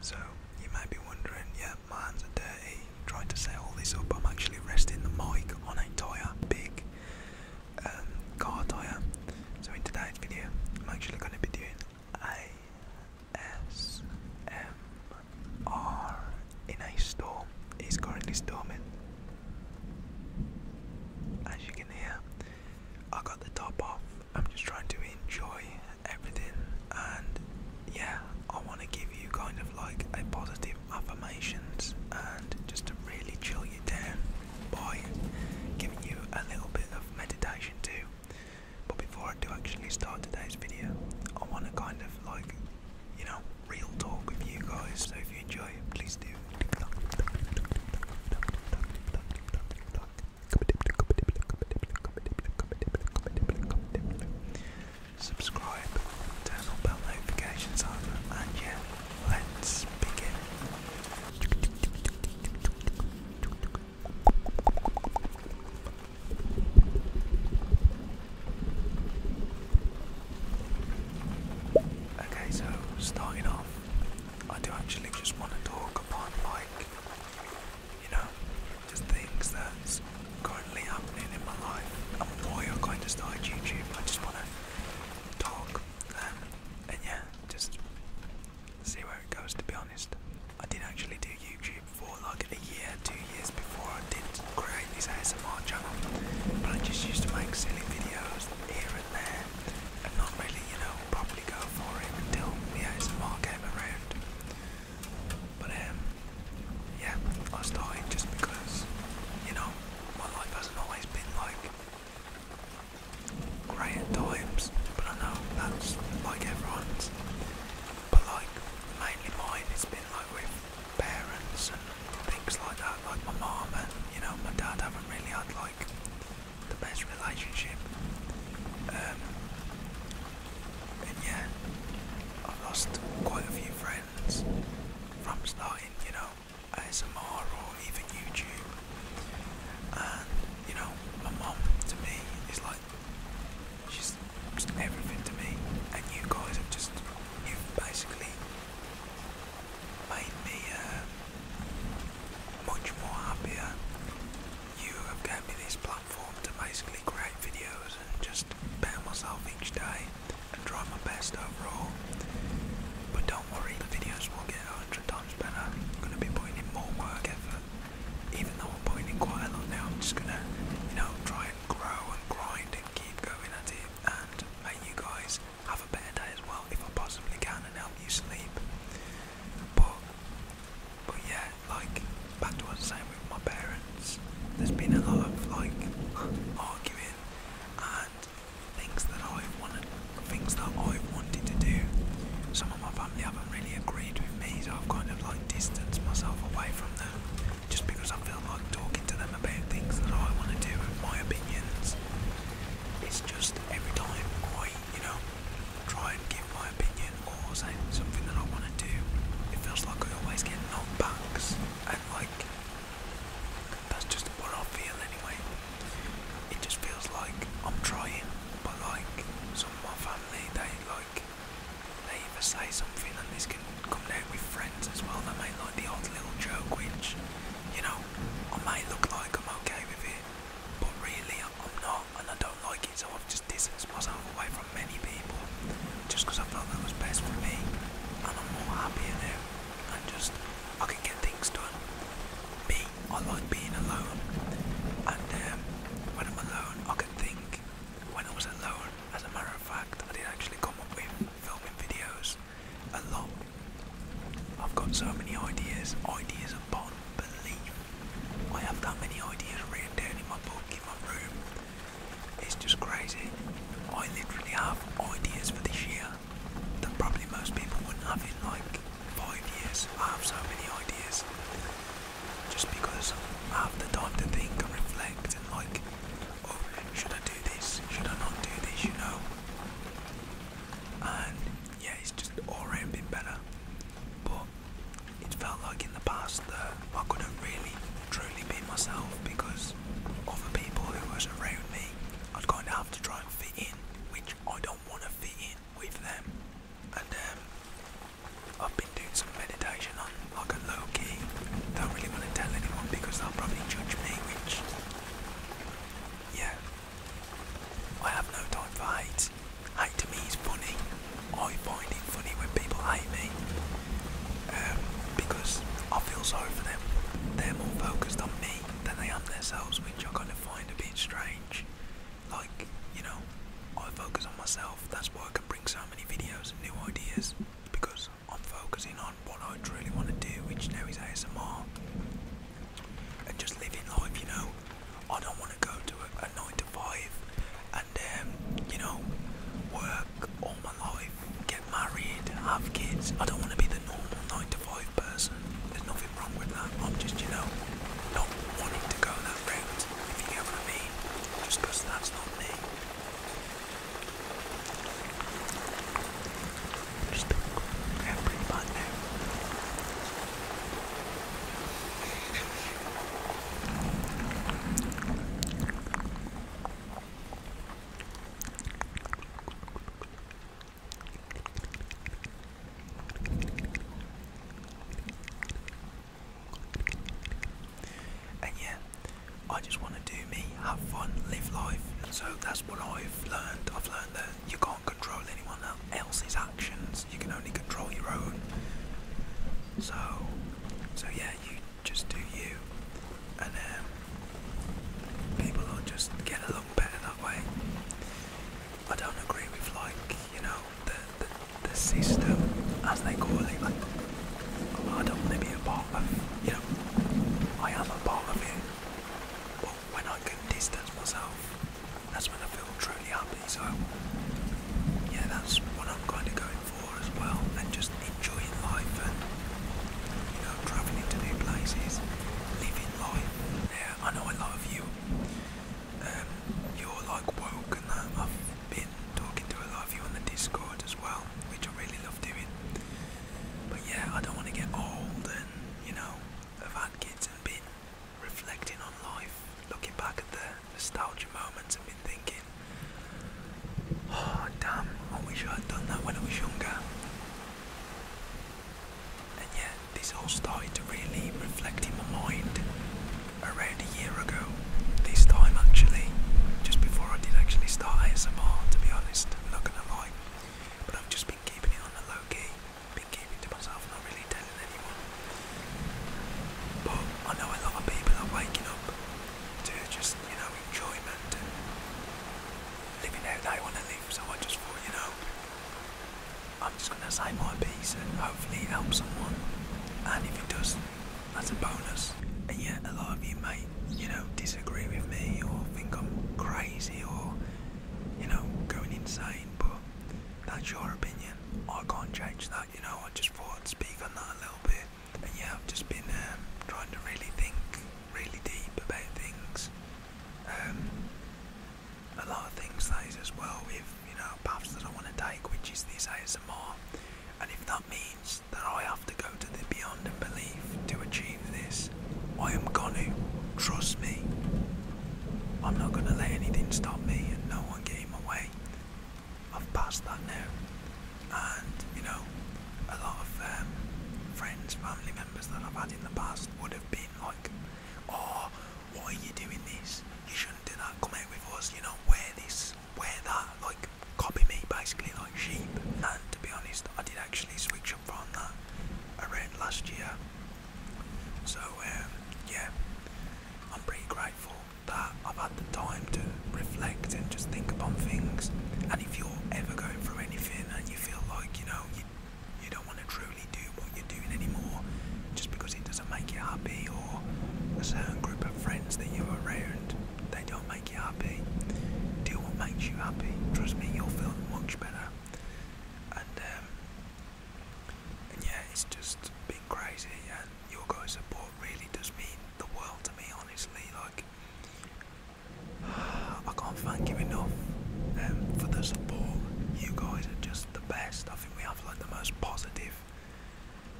So, you might be wondering, yeah, my hands are dirty, trying to set all this up. I'm actually resting the mic on a tire, big um, So in today's video, I'm actually going to be doing ASMR in a storm. It's currently storming. As you can hear, I got the top off. I'm just trying to enjoy everything, and yeah, I want to give you kind of like a positive affirmations and just to really chill you down by giving you a little bit of meditation too. But before I do actually start today's video, I want to kind of like, you know, real talk with you guys. So if you enjoy it, please do. Subscribe, turn on bell notifications on, and yeah, let's begin. Okay, so starting off, I do actually just want to talk about, like, you know, just things that's currently happening in my life. I'm more boy, I kind of started YouTube. I just want to talk um, and yeah, just see where it goes to be honest. I did actually do YouTube for like a year, two years before I did create this ASMR channel. But I just used to make silly videos here and there and not really, you know, properly go for it until the ASMR came around. But um yeah, I started just because, you know, my life hasn't always been like great times, but I know that's like everyone's. But like mainly mine, has been like with parents and things like that. Like my mom and you know my dad haven't really had like the best relationship. Um, and yeah, I've lost quite a few friends from starting, you know, ASMR or even YouTube. And you know, my mum to me is like she's everything to me. And you guys have just you basically made me uh, much more happier. You have given me this platform to basically create videos and just better myself each day and try my best overall. But don't worry, the videos will get a hundred times better. I'm gonna be putting in more work effort. Even though I'm putting in quite a lot now, I'm just gonna, you know, try and grow and grind and keep going at it and make you guys have a better day as well if I possibly can and help you sleep. But but yeah, like back to what I was saying with my parents, there's been a lot of like arguing and things that I've wanted, things that I've wanted to do. Some of my family haven't really agreed with me, so I've kind of like distanced myself away from them, just because I feel like talking to them about things that I want to do and my opinions. It's just every time I, you know, try and give my opinion or say something that I want to do, it feels like I always get knockbacks and like that's just what I feel anyway. It just feels like I'm trying, but like some of my family, they like they either say something, and this can come down with friends as well. They make like the odd little joke, which you know I may look like I'm okay with it, but really I'm not, and I don't like it. So I've just distanced myself away from many people, just because I felt that was best for me, and I'm more happier now, and just. I can get things done. Me, I like being alone, and um, when I'm alone, I can think. When I was alone, as a matter of fact, I did actually come up with filming videos a lot. I've got so many ideas, ideas upon belief. I have that many ideas written down in my book, in my room. It's just crazy. I literally have ideas for this year that probably most people wouldn't have in like five years. I have so many ideas just because I have the time to think and reflect and like, oh, should I do this? Should I not do this? You know. And yeah, it's just all around been better. But it felt like in the past that I couldn't really truly be myself because other people who was around me i am going to have to try and fit in, which I don't want to fit in with them. And um, I've been doing some meditation on like a low key. Don't really want to tell anyone because they'll probably judge me, which, yeah. I have no time for hate. Hate to me is funny. I find it funny when people hate me. Um, because I feel sorry for them. They're more focused on me than they are themselves, which I kind of find a bit strange. Like, you know, I focus on myself, that's why I can bring so many videos and new ideas, because I'm focusing on what I truly want to do, which now is ASMR. And just living life, you know. I don't want to go to a, 9 to 5 and, um, you know, work all my life get married, have kids. I don't want to be the normal 9 to 5 person. There's nothing wrong with that. I'm just, you know, not wanting to go that route, if you get what I mean. Just because that's not me. Just been and yeah, I just want to do me, have fun, live life. So that's what I've learned. I've learned that you can't control anyone else's actions. You can only control your own. So, so yeah, you just do you, and um, people will just get along better that way. I don't agree with like you know the the, system as they call it. Like I don't want to be a part of you know I am a part of it, but when I can distance myself, that's when I feel truly happy. So yeah, that's what I'm kind of going for as well and just enjoying life and you know traveling to new places, living life. There, I know a lot of you. Um, you're like woke and I've been talking to a lot of you on the Discord as well, which I really love doing. But yeah, I don't want to get old and you know, I've had kids and been reflecting on life, looking back at the nostalgia moments and been thinking oh damn, I wish I had done that when I was younger. And yet, this all started to really reflect in my mind around a year ago. This time, actually, just before I did actually start ASMR, to be honest, I'm not But I've just been keeping it on the low key, been keeping to myself, not really telling anyone. But I know a lot of people are waking up to just, you know, enjoyment and living out that I want to live. So I just thought, you know, I'm just going to say my piece and hopefully help someone. And if it does, that's a bonus. And yet, a lot of you may, you know, disagree with me or think I'm crazy or, you know, going insane, but that's your opinion. I can't change that, you know. I just thought I'd speak on that a little bit yeah, I've just been um, trying to really think really deep about things. Um, a lot of things that is as well with you know paths that I want to take, which is this ASMR. And if that means that I have to go to the beyond and belief to achieve this, I am gonna. Trust me. I'm not gonna let anything stop me, and no one get in my way. I've passed that now, and you know, a lot of um, friends, family members that I've had in the past would have been like, "Oh, why are you doing this? You shouldn't do that. Come out with us. You know, wear this, wear that. Like, copy me, basically, like sheep." And to be honest, I did actually switch up from that around last year. So um, yeah, I'm pretty grateful that I've had the time to reflect and just think upon things. And if you're ever going through anything and you feel like you know you, you don't want to truly do what you're doing anymore just because it doesn't make you happy, or a certain group of friends that you're around they don't make you happy, do what makes you happy. Trust me, you'll feel much better. And, um, and yeah, it's just been crazy, and your guys' support really does mean the world to me, honestly. Like, I can't thank you enough um, for the support. You guys are just the best. I think we have like the most positive,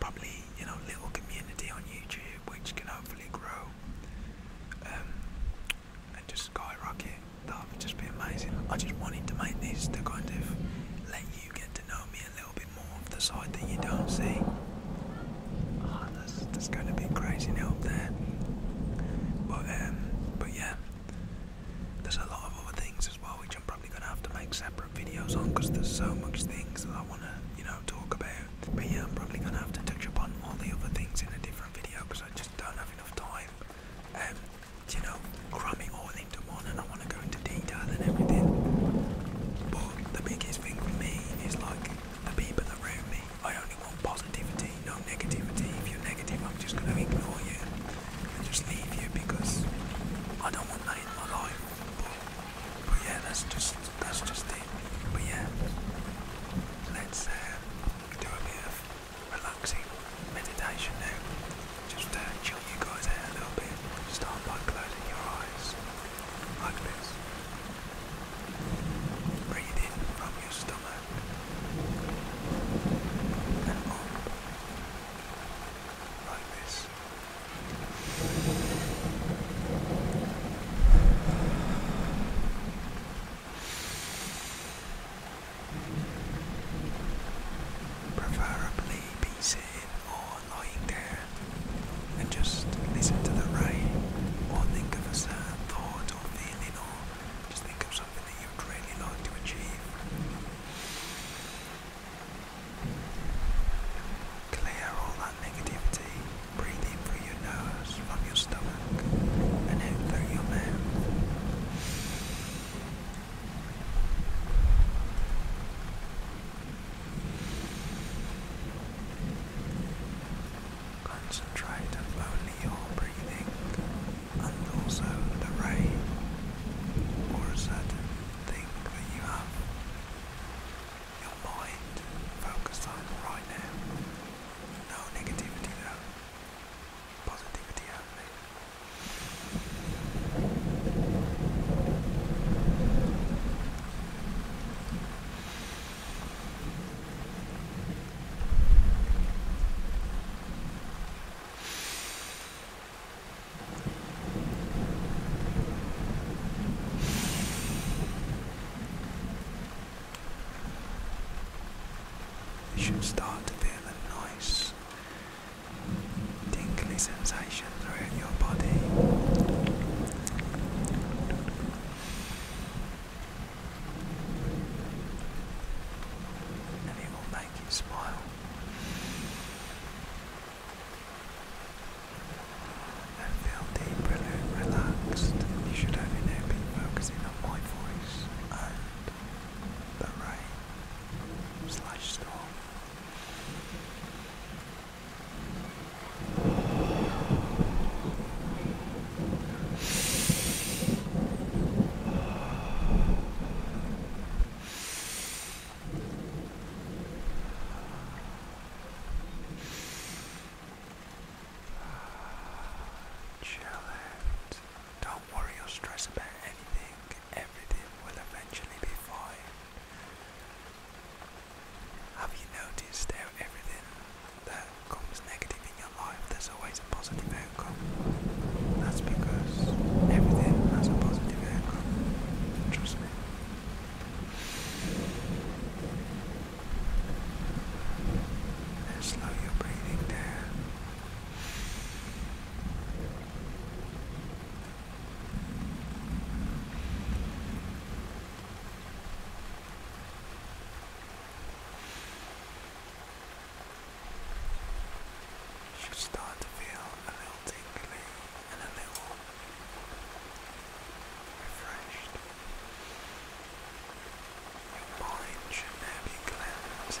probably you know, little community on YouTube, which can hopefully grow um, and just skyrocket. That would just be amazing. I just wanted to make this to kind of let you get to know me a little little bit more of the side that you don't see. Oh, that's, that's going to be crazy now there. But, um, but yeah, there's a lot of other things as well which I'm probably going to have to make separate videos on because there's so much things that I want to, you know, talk about. But yeah, I'm probably going to have to touch upon all the other things in a different video because I just don't have enough time um, you know, cram all into one and I do want to go into detail and everything. But the biggest thing for me is like the people around me. I only want positivity, no negativity. If you're negative, I'm just going to ignore you and just leave you because I don't want that in my life. But, yeah, that's just that's just it. But yeah, let's uh, do a bit of relaxing meditation now. Just uh, chill you guys out a little bit. Start by closing your eyes like this. Breathe from your stomach and on, like this. Preferably be sitting or annoying there. And just listen to the rhyme, or think of a sad thought or feeling, or just think of something that you'd really like to achieve. Clear all that negativity, breathe in through your nose, from your stomach, and out through your mouth. Concentrate on only your breathing and also the ray or a certain thing that you have. Your mind focused on right now. No negativity though. Positivity only. You should start to feel the noise tingly sensation throughout your body. And it will make you smile. And feel deeper relaxed. You should only now focusing on my voice and the rain slash storm. Chill out. Don't worry or stress about anything everything will eventually be fine. Have you noticed how everything that comes negative in your life, there's always a positive outcome? That's because everything has a positive outcome. Trust me. slow your breathing down. You should start to feel a little tingly and a little refreshed. Your mind should be cleansed.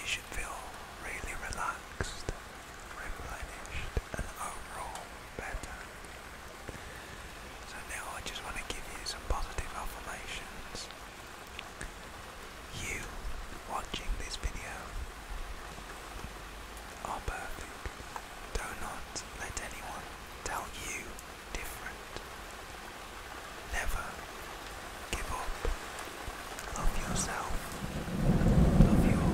you should feel really relaxed, replenished, and overall better. So now I just want to give you some positive affirmations. You watching this video are perfect. Do not let anyone tell you different. Never give up Love yourself, Love your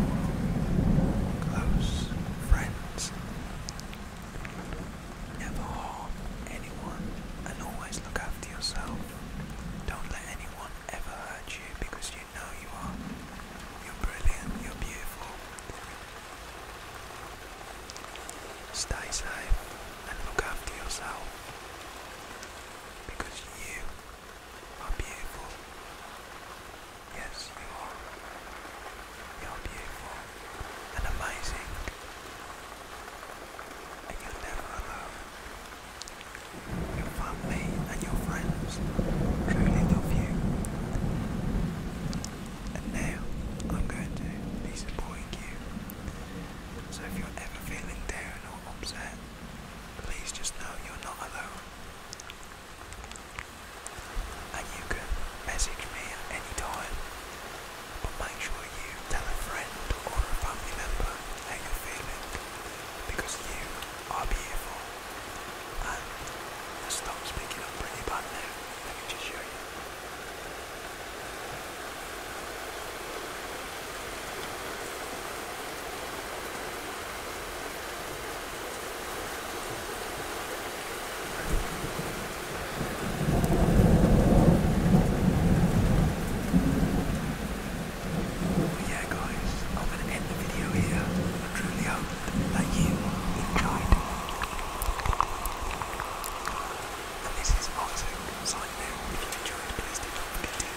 close friends. Never harm anyone and always look after yourself. Don't let anyone ever hurt you because you know you are. You're brilliant, you're beautiful. Stay safe and look after yourself because you are beautiful. Yes, you are. You are beautiful and amazing. And you're never alone. Your family and your friends truly love you. And now I'm going to be you. So if you're ever feeling down or upset, please just know you're not alone. And you can message me at any time, but make sure you tell a friend or a family member how you're because you are beautiful. And the stock's picking up pretty bad now, let me just show you. But yeah guys, I'm going to end the video here. I truly hope that you enjoyed. And this is Martin signing out. If you enjoyed, please do not forget to